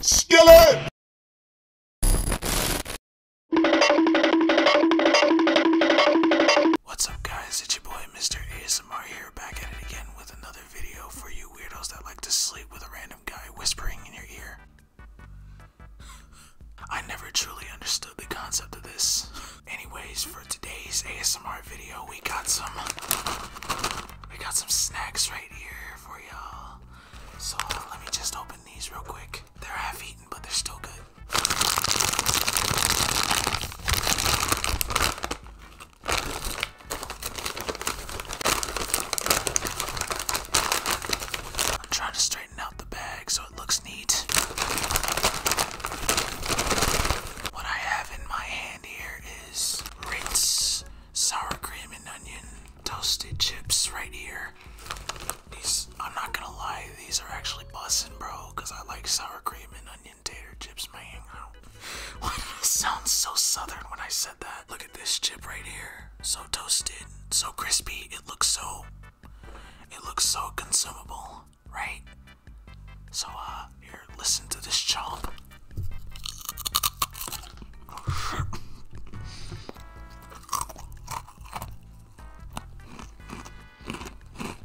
Skillet! What's up guys, it's your boy Mr. ASMR here, back at it again with another video for you weirdos that like to sleep with a random guy whispering in your ear. I never truly understood the concept of this. Anyways, for today's ASMR video, we got some we got some snacks right here for y'all. So uh, let me just open these real quick. They're half eaten, but they're still good. I'm trying to straighten out the bag so it looks neat. What I have in my hand here is Ritz sour cream and onion toasted chips right here. These, I'm not gonna lie, these are actually bussin', bro, because I like sour cream and onion tater chips, man. Why did it sound so southern when I said that? Look at this chip right here. So toasted, so crispy, it looks so it looks so consumable, right? So uh here, listen to this chomp.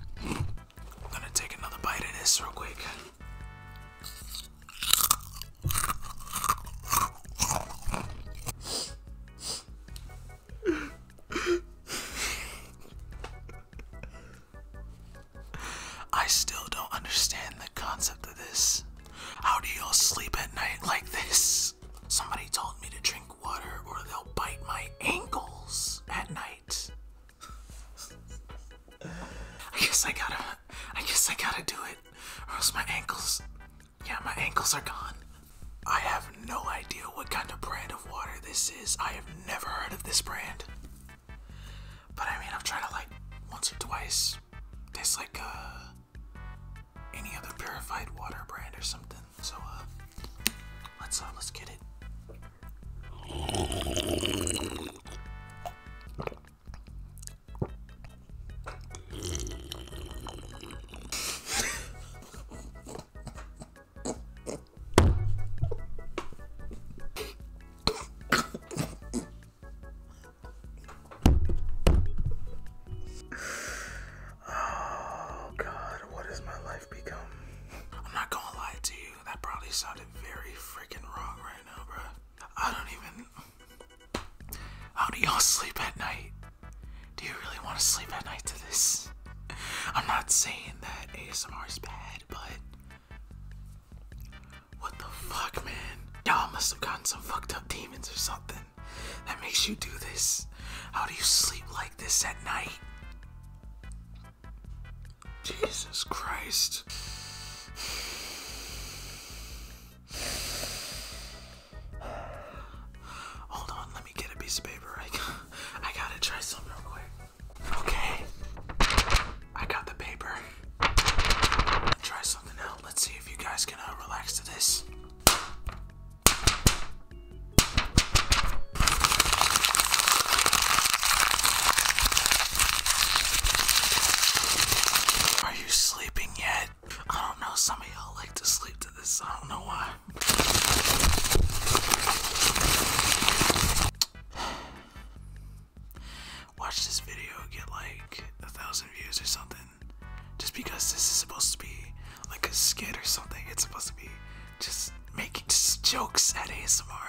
I'm gonna take another bite of this real quick. I still don't understand the concept of this. How do y'all sleep at night like this? Somebody told me to drink water or they'll bite my ankles at night. I guess I gotta, I guess I gotta do it, or else my ankles, yeah, my ankles are gone. I have no idea what kind of brand of water this is. I have never heard of this brand. But I mean, I've tried it like once or twice. Tastes like uh, any other purified water brand or something. So uh, let's uh, let's get it. Oh God, what has my life become? I'm not gonna lie to you, that probably sounded very freaking wrong right now, bro. I don't even. How do y'all sleep at night? Do you really want to sleep at night to this? I'm not saying that ASMR is bad, but what the fuck, man? Y'all must have gotten some fucked up demons or something that makes you do this. How do you sleep like this at night? Jesus Christ. Hold on, let me get a piece of paper. I, I gotta try something real quick. Okay, I got the paper. Try something out. Let's see if you guys can uh, relax to this. Are you sleeping yet? I don't know, some of y'all like to sleep to this, I don't know why. Watch this video get like a thousand views or something. Just because this is supposed to be like a skit or something, it's supposed to be just making jokes at ASMR.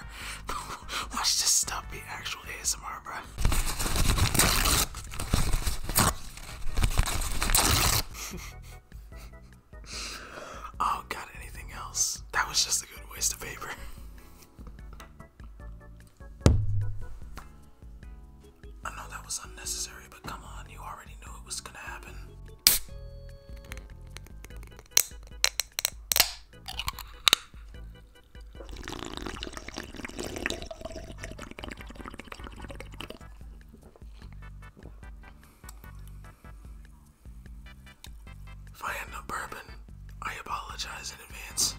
Watch this stuff be actual ASMR oh god, anything else? That was just a good waste of paper. I know that was unnecessary, but come on, you already knew it was gonna happen. If I end up bourbon, I apologize in advance.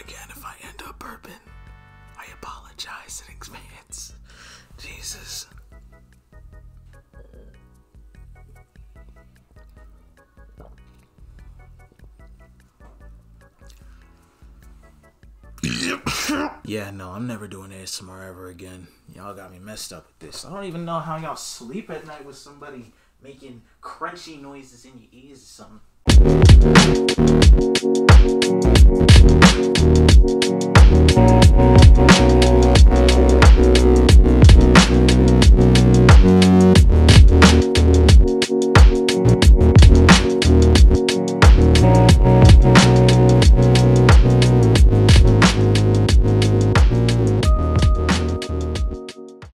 Again, if I end up burping, I apologize in advance. Jesus. yeah, no, I'm never doing ASMR ever again. Y'all got me messed up with this. I don't even know how y'all sleep at night with somebody making crunchy noises in your ears or something.